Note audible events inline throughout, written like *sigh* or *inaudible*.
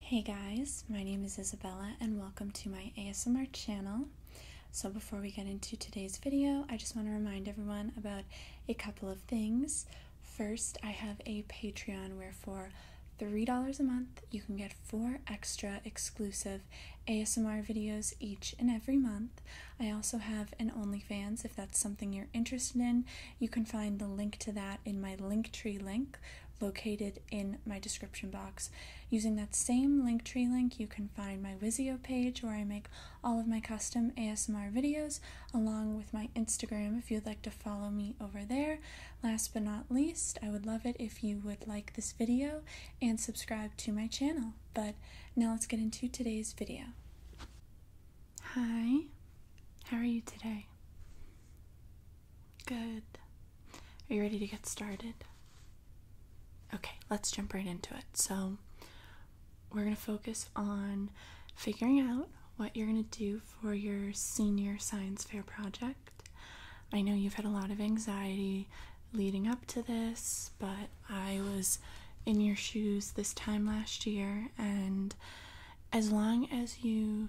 Hey guys, my name is Isabella and welcome to my ASMR channel. So before we get into today's video, I just want to remind everyone about a couple of things. First, I have a Patreon where for $3 a month, you can get four extra exclusive ASMR videos each and every month. I also have an OnlyFans if that's something you're interested in. You can find the link to that in my link tree link, located in my description box. Using that same Linktree link, you can find my Wizio page where I make all of my custom ASMR videos, along with my Instagram if you'd like to follow me over there. Last but not least, I would love it if you would like this video and subscribe to my channel. But now let's get into today's video. Hi, how are you today? Good. Are you ready to get started? Okay, let's jump right into it. So, we're going to focus on figuring out what you're going to do for your senior science fair project. I know you've had a lot of anxiety leading up to this, but I was in your shoes this time last year, and as long as you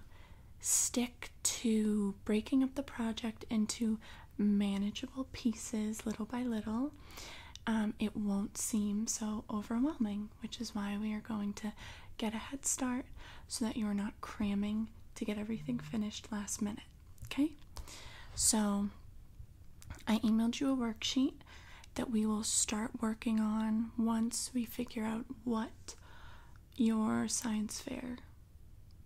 stick to breaking up the project into manageable pieces little by little, um, it won't seem so overwhelming, which is why we are going to get a head start so that you're not cramming to get everything finished last minute. Okay? So I emailed you a worksheet that we will start working on once we figure out what your science fair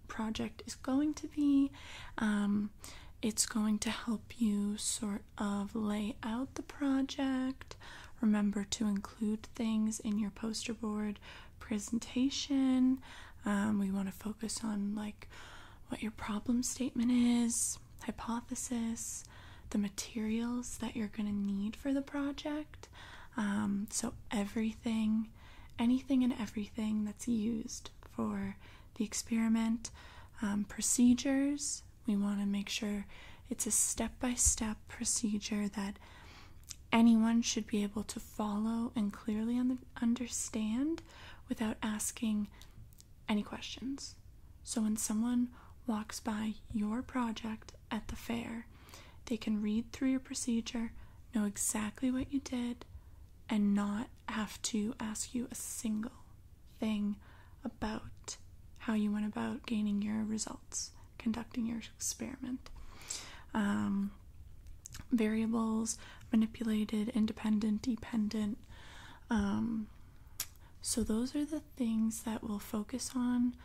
project is going to be. Um, it's going to help you sort of lay out the project. Remember to include things in your poster board presentation. Um, we want to focus on like what your problem statement is, hypothesis, the materials that you're going to need for the project. Um, so, everything, anything and everything that's used for the experiment, um, procedures, we want to make sure it's a step by step procedure that anyone should be able to follow and clearly understand without asking any questions. So, when someone walks by your project at the fair. They can read through your procedure, know exactly what you did, and not have to ask you a single thing about how you went about gaining your results, conducting your experiment. Um, variables, manipulated, independent, dependent. Um, so, those are the things that we'll focus on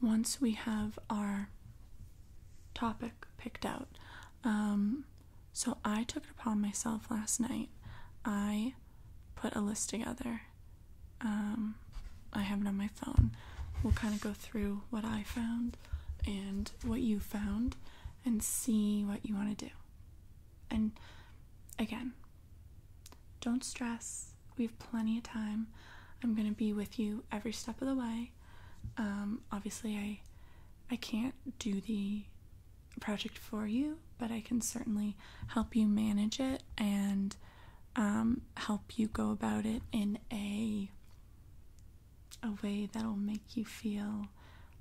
once we have our topic picked out. Um, so I took it upon myself last night. I put a list together. Um, I have it on my phone. We'll kind of go through what I found and what you found and see what you want to do. And again, don't stress. We have plenty of time. I'm going to be with you every step of the way. Um, obviously, I I can't do the project for you, but I can certainly help you manage it and um, help you go about it in a a way that'll make you feel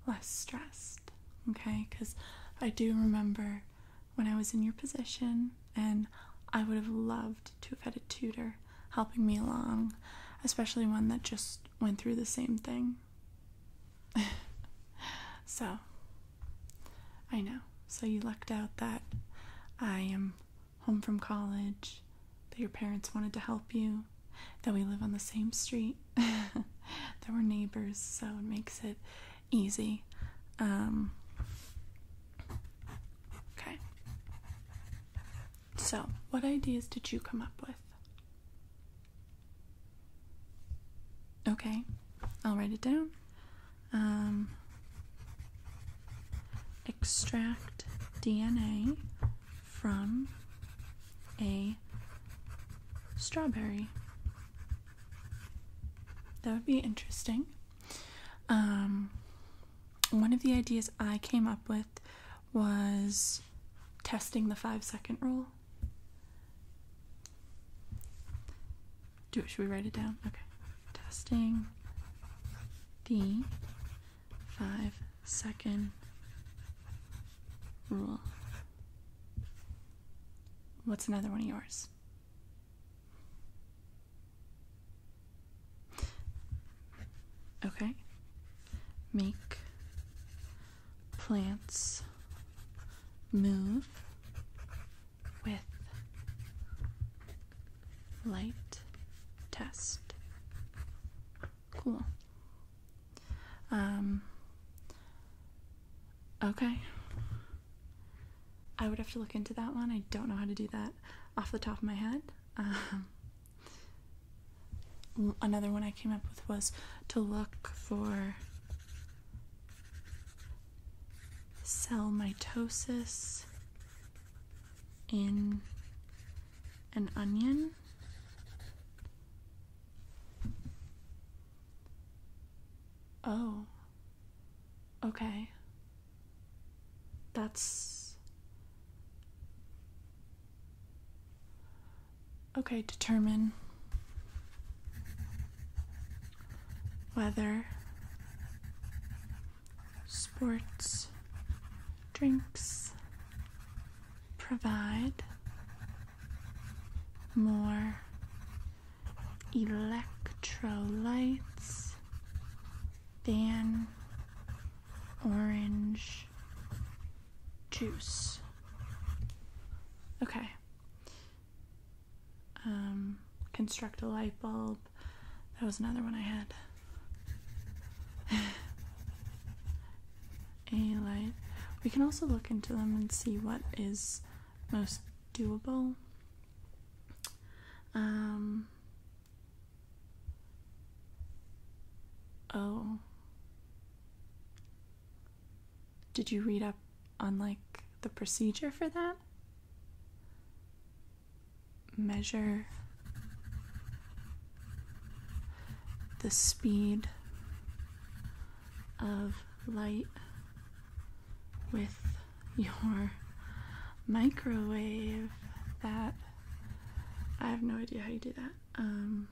less stressed. Okay, because I do remember when I was in your position, and I would have loved to have had a tutor helping me along, especially one that just went through the same thing. *laughs* so, I know. So, you lucked out that I am home from college, that your parents wanted to help you, that we live on the same street, *laughs* that we're neighbors, so it makes it easy. Um, okay. So, what ideas did you come up with? Okay, I'll write it down. Um, extract DNA from a strawberry. That would be interesting. Um, one of the ideas I came up with was testing the five second rule. Do it, should we write it down? Okay. Testing the five second rule. What's another one of yours? Okay. Make plants move with light test. Cool. Um, okay. I would have to look into that one. I don't know how to do that off the top of my head. Um, another one I came up with was to look for cell mitosis in an onion. Oh. Okay. That's. Okay, determine weather, sports, drinks, provide more electrolytes than orange juice. Okay. Um, construct a light bulb. That was another one I had. *laughs* a light. We can also look into them and see what is most doable. Um, Oh. Did you read up on like the procedure for that? Measure the speed of light with your microwave that I have no idea how you do that. Um,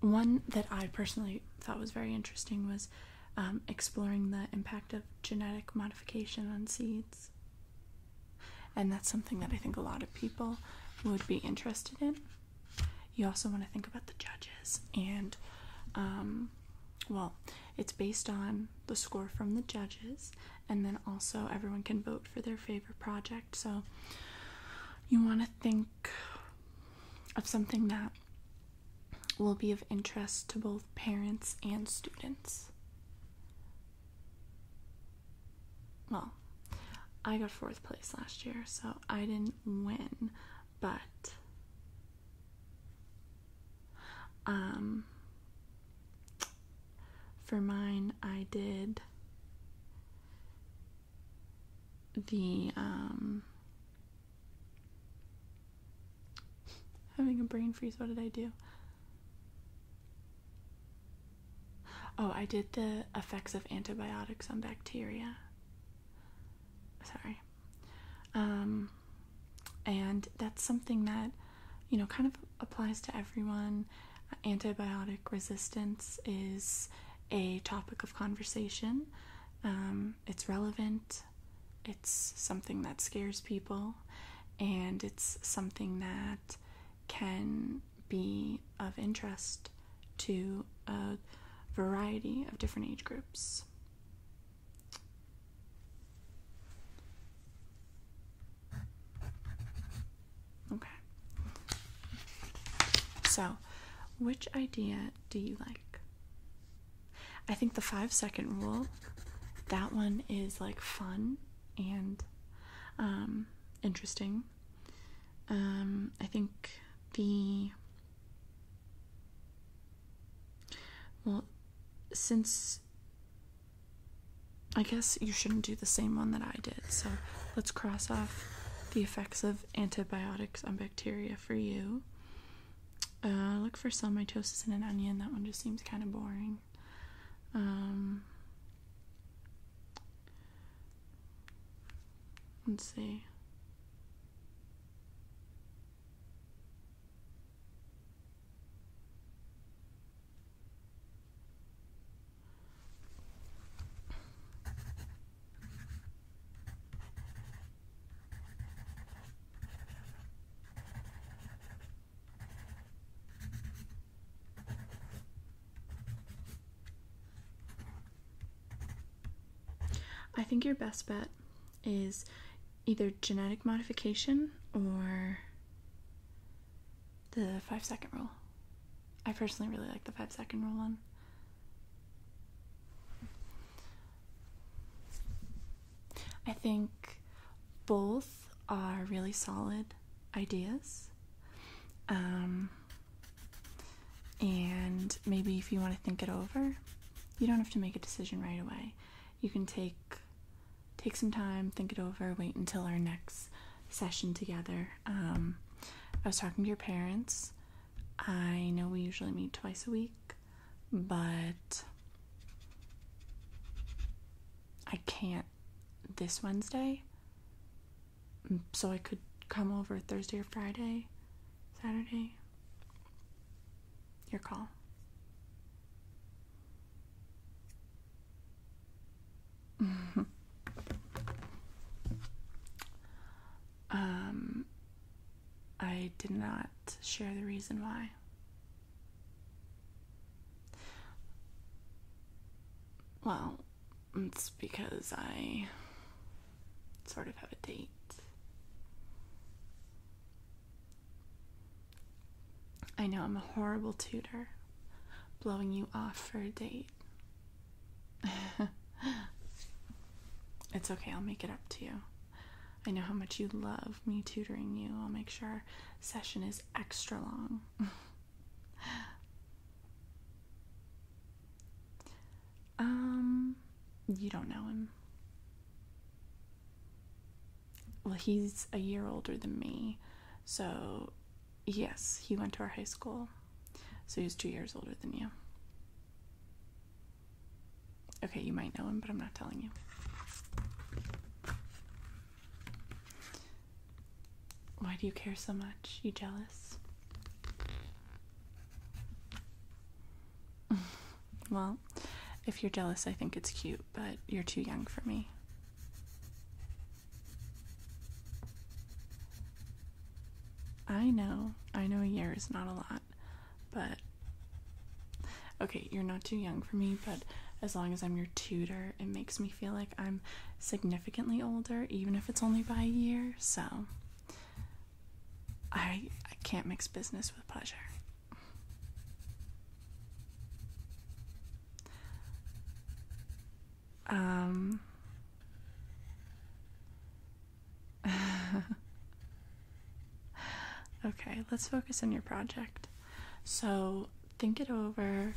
one that I personally thought was very interesting was um, exploring the impact of genetic modification on seeds. And that's something that I think a lot of people would be interested in. You also want to think about the judges and um, well, it's based on the score from the judges, and then also everyone can vote for their favorite project. So you want to think of something that will be of interest to both parents and students. Well, I got fourth place last year, so I didn't win, but um, for mine, I did the um, having a brain freeze. What did I do? Oh, I did the effects of antibiotics on bacteria. Sorry. Um, and that's something that, you know, kind of applies to everyone. Antibiotic resistance is a topic of conversation. Um, it's relevant, it's something that scares people, and it's something that can be of interest to a variety of different age groups. Okay. So, which idea do you like? I think the five second rule, that one is like fun and um, interesting. Um, I think the well, since I guess you shouldn't do the same one that I did. So let's cross off the effects of antibiotics on bacteria for you. Uh, look for cell mitosis in an onion. That one just seems kind of boring. Um, let's see. I think your best bet is either genetic modification or the five second rule. I personally really like the five second rule one. I think both are really solid ideas. Um, and maybe if you want to think it over, you don't have to make a decision right away you can take take some time, think it over, wait until our next session together. Um, I was talking to your parents. I know we usually meet twice a week, but I can't this Wednesday. Mm, so I could come over Thursday or Friday, Saturday. Your call. *laughs* um, I did not share the reason why. Well, it's because I sort of have a date. I know I'm a horrible tutor, blowing you off for a date. *laughs* it's okay, I'll make it up to you. I know how much you love me tutoring you. I'll make sure our session is extra long. *laughs* um, you don't know him well, he's a year older than me, so yes, he went to our high school, so he's two years older than you. Okay, you might know him, but I'm not telling you. Why do you care so much? You jealous? *laughs* well, if you're jealous, I think it's cute but you're too young for me. I know, I know a year is not a lot, but okay, you're not too young for me, but as long as I'm your tutor, it makes me feel like I'm significantly older, even if it's only by a year, so I I can't mix business with pleasure. Um. *laughs* okay, let's focus on your project. So, think it over,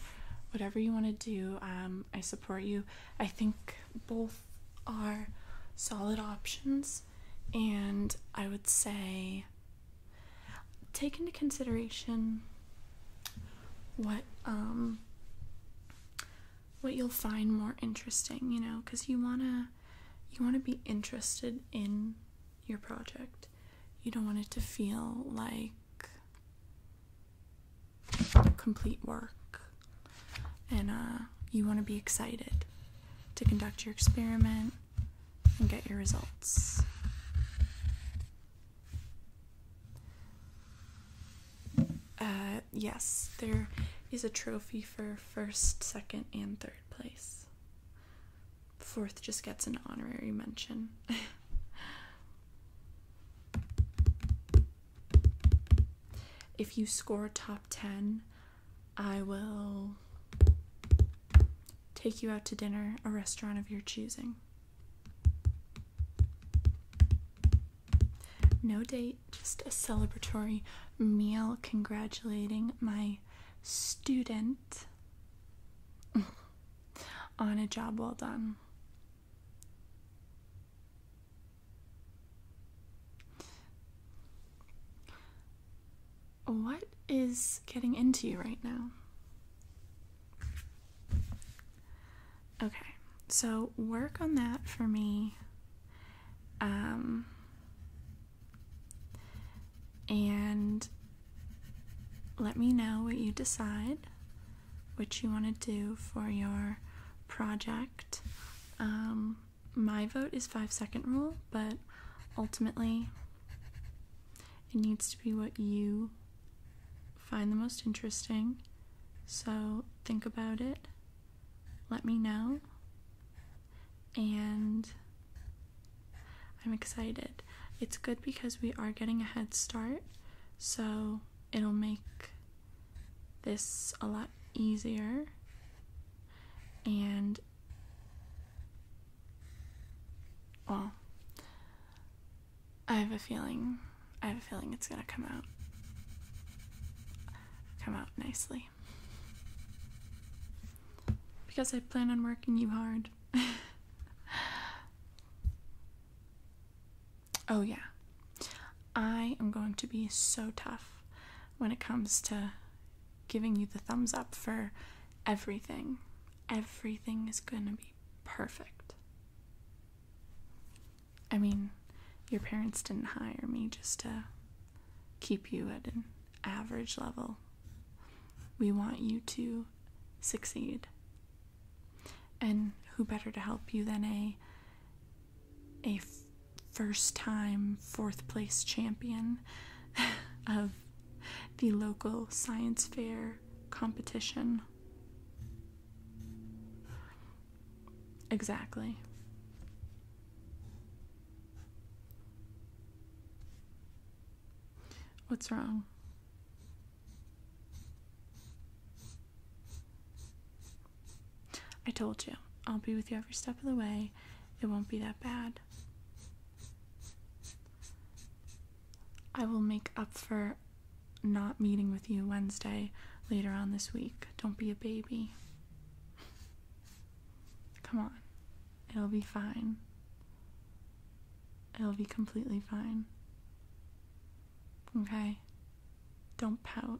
whatever you want to do. Um, I support you. I think both are solid options, and I would say take into consideration what um, what you'll find more interesting, you know, cuz you want to you want to be interested in your project. You don't want it to feel like complete work. And uh, you want to be excited to conduct your experiment and get your results. Uh, yes, there is a trophy for first, second, and third place. Fourth just gets an honorary mention. *laughs* if you score top 10 I will take you out to dinner, a restaurant of your choosing. No date, just a celebratory meal congratulating my student *laughs* on a job well done. What is getting into you right now? Okay, so work on that for me. Um, and let me know what you decide, which you want to do for your project. Um, my vote is five second rule, but ultimately, it needs to be what you find the most interesting. So think about it. Let me know. And I'm excited. It's good because we are getting a head start. So it'll make this a lot easier. And well, I have a feeling. I have a feeling it's gonna come out. Come out nicely. Because I plan on working you hard. *laughs* oh, yeah. I am going to be so tough when it comes to giving you the thumbs up for everything. Everything is going to be perfect. I mean, your parents didn't hire me just to keep you at an average level. We want you to succeed. And who better to help you than a a first time fourth place champion *laughs* of the local science fair competition. Exactly. What's wrong? I told you, I'll be with you every step of the way. It won't be that bad. I will make up for not meeting with you Wednesday later on this week. Don't be a baby. Come on. It'll be fine. It'll be completely fine. Okay? Don't pout.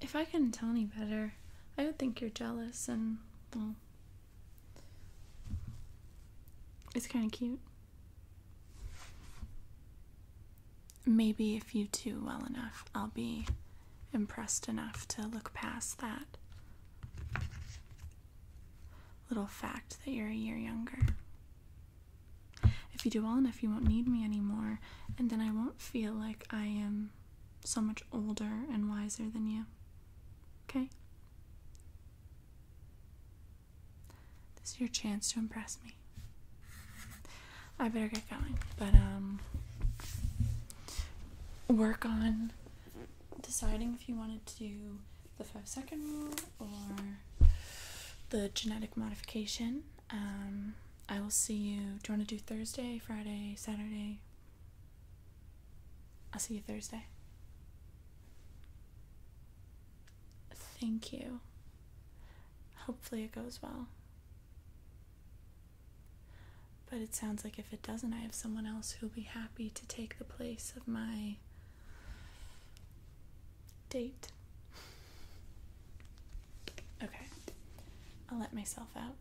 If I couldn't tell any better, I would think you're jealous and, well, it's kind of cute. Maybe if you do well enough, I'll be impressed enough to look past that little fact that you're a year younger. If you do well enough, you won't need me anymore, and then I won't feel like I am so much older and wiser than you. Okay? This is your chance to impress me. I better get going, but um work on deciding if you wanted to do the five second rule or the genetic modification um, I will see you. Do you want to do Thursday, Friday, Saturday? I'll see you Thursday. Thank you. Hopefully it goes well. But it sounds like if it doesn't, I have someone else who'll be happy to take the place of my date. Okay, I'll let myself out.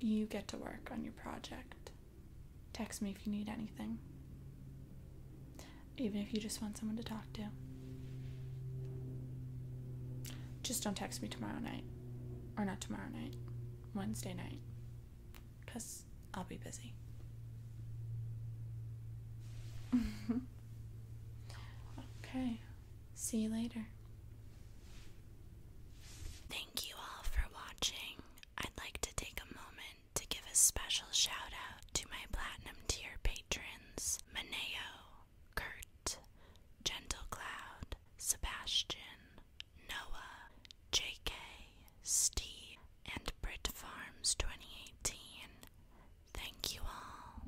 You get to work on your project. Text me if you need anything, even if you just want someone to talk to. Just don't text me tomorrow night. Or not tomorrow night, Wednesday night. Because I'll be busy. *laughs* okay see you later. Thank you all for watching. I'd like to take a moment to give a special shout out to my platinum tier patrons Mineo, Kurt, Gentle Cloud, Sebastian, Noah, JK, Steve, and Brit Farms 2018. Thank you all.